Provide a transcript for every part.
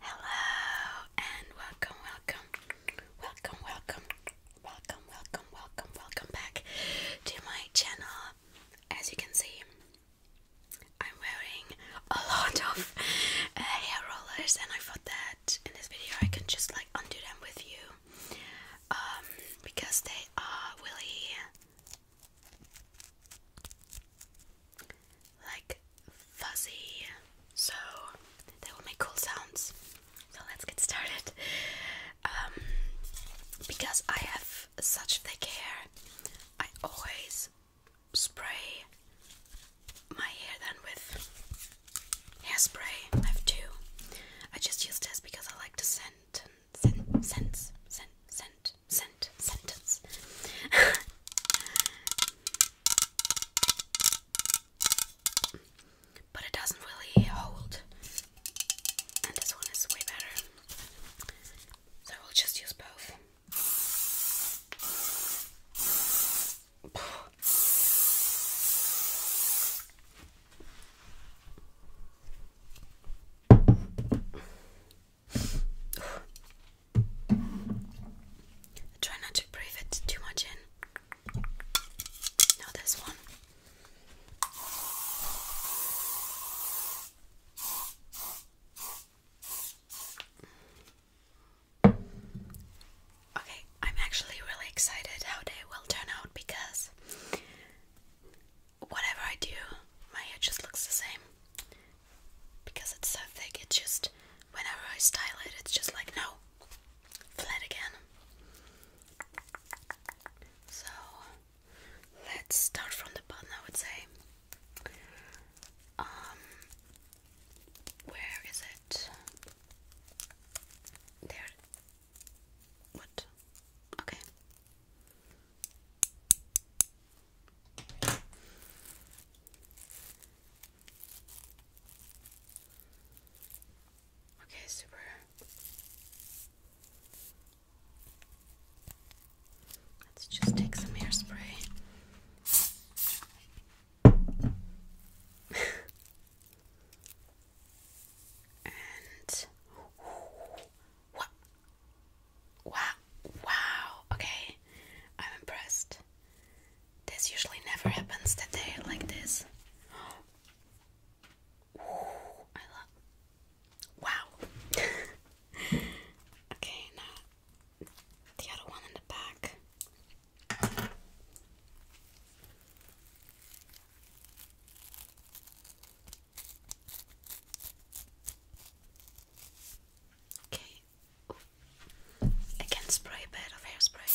Hello and welcome, welcome, welcome, welcome, welcome, welcome, welcome, welcome back to my channel. As you can see, I'm wearing a lot of uh, hair rollers, and I thought that in this video I can just like undo them with you um, because they are really like fuzzy, so they will make cool sounds. So let's get started. Um, because I have such thick hair, I always spray my hair then with hairspray. I have two. I just use this because I like the scent sen sense sen sent sent sentence. but it doesn't really hold. And this one is way better. So I will just use both. I try not to breathe it too much in. Now this one. Okay, I'm actually really excited how they will turn out because whatever I do, my hair just looks the same because it's so thick. It's just whenever I style it, it's just like no, flat again. So let's start from the bottom. I would say. Um, where is it? There. What? Okay. Okay, super. Let's just take some hairspray. and what? Wow, wow, okay, I'm impressed. This usually never happens that they like this. I love. Wow. okay, now the other one in the back. Okay. I can spray a bit of hairspray.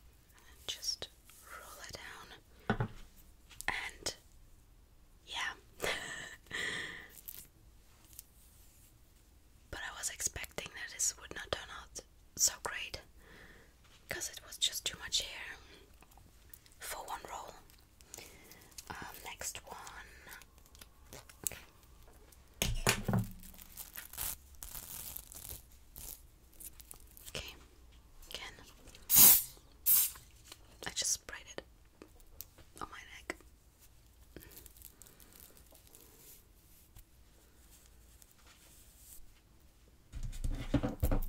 And just roll it down. And yeah. but I was expecting that this would not turn out so great because it was just too much here for one roll. Um, next one. Okay, again. I just sprayed it on my neck. Well,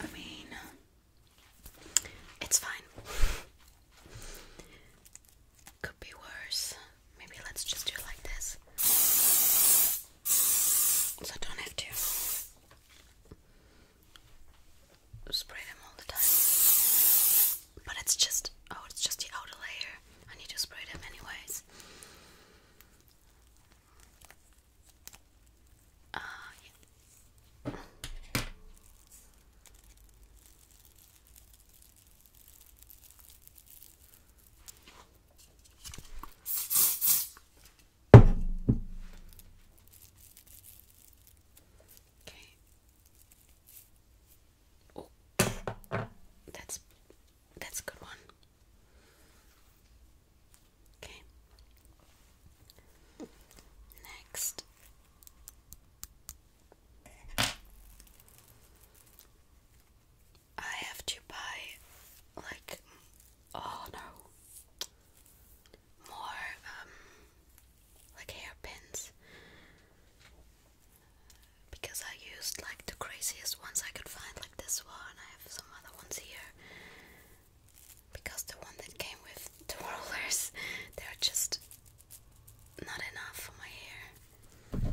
I mean, it's fine. Could be worse. Maybe let's just do like this. So I don't have to spray them all the time. But it's just oh, it's just the outer layer. I need to spray them anyways. Uh, okay. Oh, that's that's a good one. Okay. Next. I have to buy like oh no more um like hairpins because I used like the craziest ones I could find, like this one. I have some other ones here because the one that came with the rollers, they're just not enough for my hair.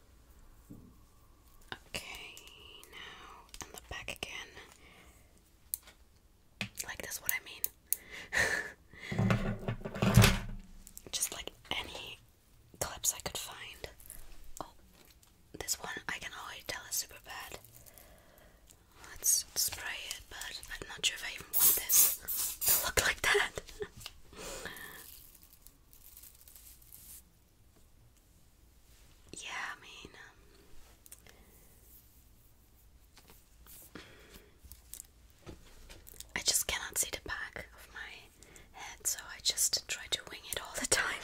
Okay, now on the back again. Like that's what I mean. Just like any clips I could find. Oh, this one I can already tell is super bad. Let's spray it, but I'm not sure if I even want this to look like that. yeah, I mean, um, I just cannot see the back of my head, so I just try to wing it all the time.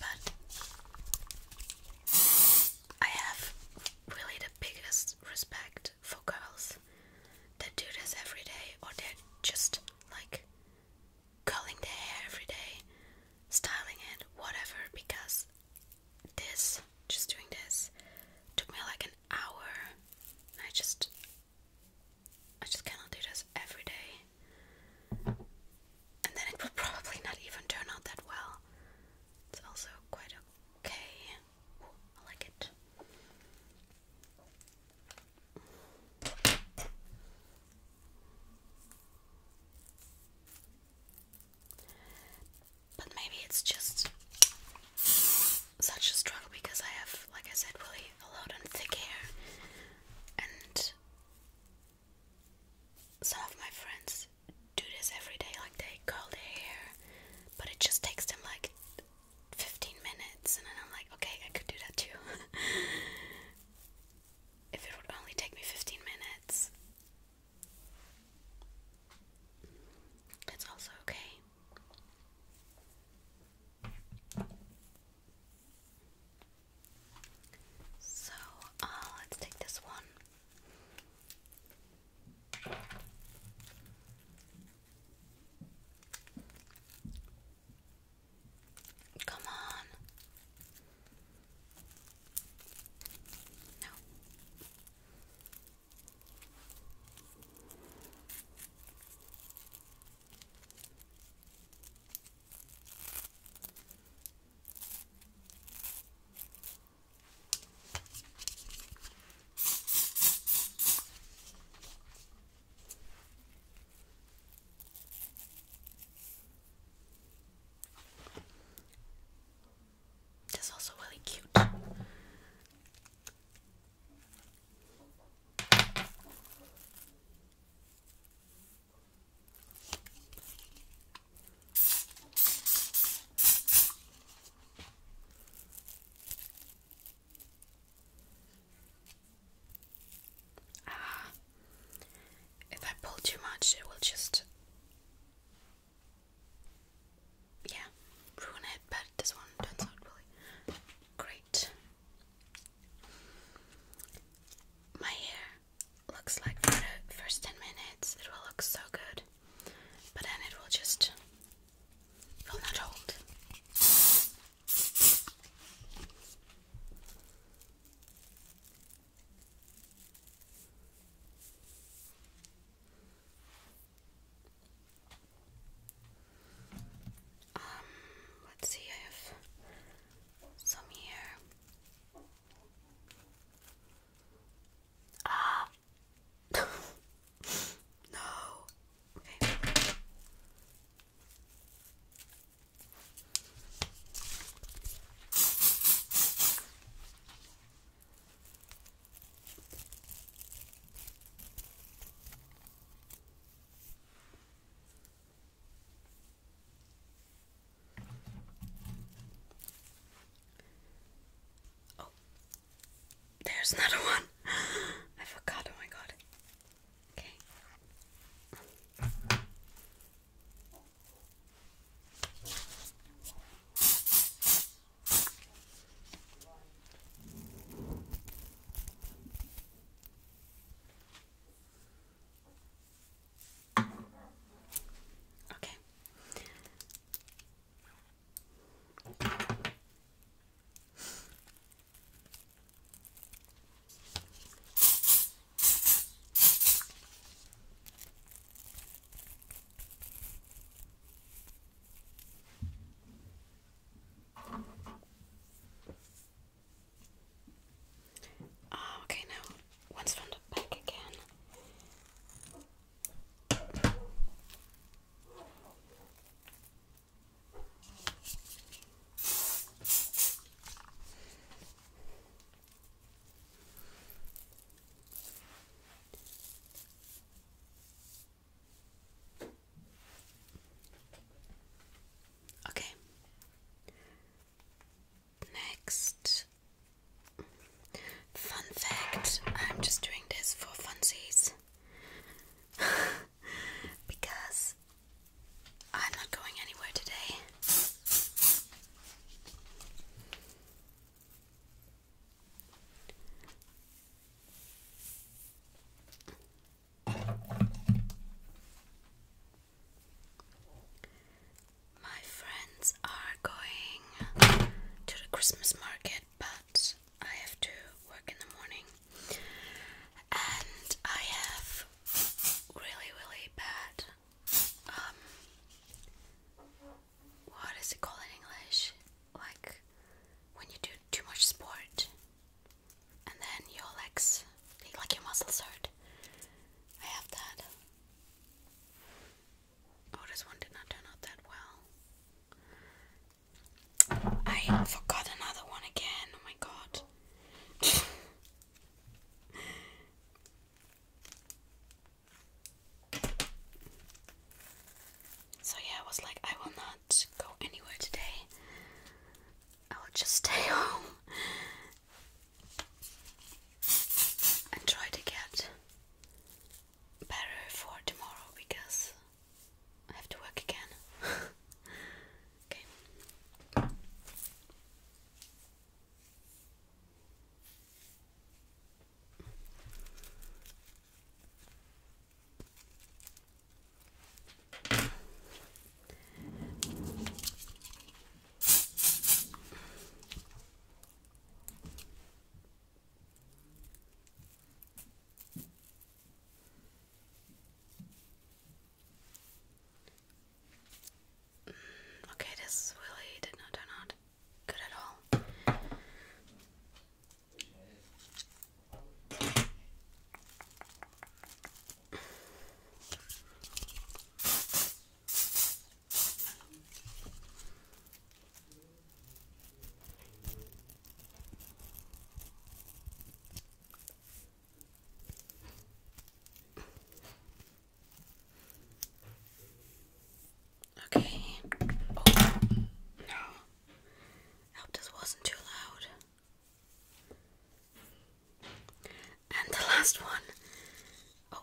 But I have really the biggest respect for girls that do this every day, or they're just like curling their hair every day, styling it, whatever. Because this, just doing this, took me like an hour. I just, I just cannot do this every day. And then it will probably not even turn out that well. It's also quite Okay. I like it. But maybe it's just such a struggle because I have, like I said, really a lot of thick hair, and some of my friends do this every day, like they curl their hair, but it just takes them like 15 minutes, and then I'm like, okay, I could do that too. if it would only take me 15 minutes, that's also okay. So uh, let's take this one. Come on. No. That's also really cute. Ah, if I pull too much, it will just, yeah, ruin it. But this one turns out really great. My hair looks like for the first 10 minutes it will look so good, but then it will just will not hold. Um, let's see, I some here. Ah. no. Oh, there's another one. I forgot. Oh my god. Okay. Okay. Oh, okay, now once from the back again. Okay. Next, fun fact I'm just doing this for funsies because I'm not going anywhere today. My friends are going to the Christmas market, but I have to work in the morning. And I have really, really bad. Um, what is it called in English? Like when you do too much sport and then your legs, like your muscles hurt. I have that. Oh, this one did not turn out that well. I forgot another one again. Oh my god. so, yeah, I was like, I will not go anywhere today. I will just stay home and try to get better for tomorrow because I have to work again. okay. Okay, this really did not turn out good at all. Okay. Oh, no. I this wasn't too loud. And the last one. Oh.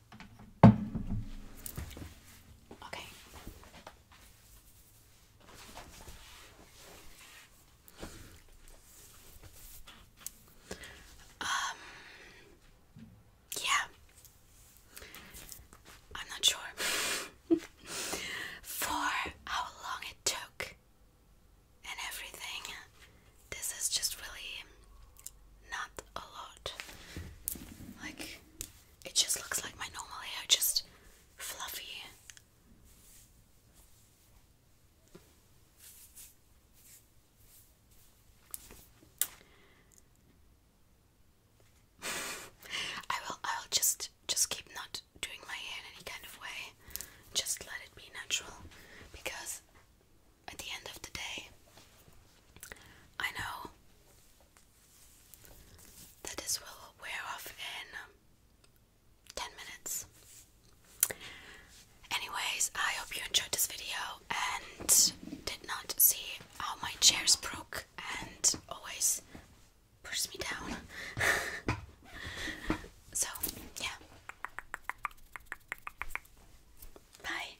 Okay. Um yeah. I'm not sure for how long it took and everything. This is just really not a lot. Like it just looks like my normal hair, just fluffy. I will I will just just keep not doing my hair any kind of way. Just let it be natural because at the end of the day I know that this will wear off in um, 10 minutes. Anyways, I hope you enjoyed this video and did not see how my chairs broke and always pushed me down. so, yeah. Bye.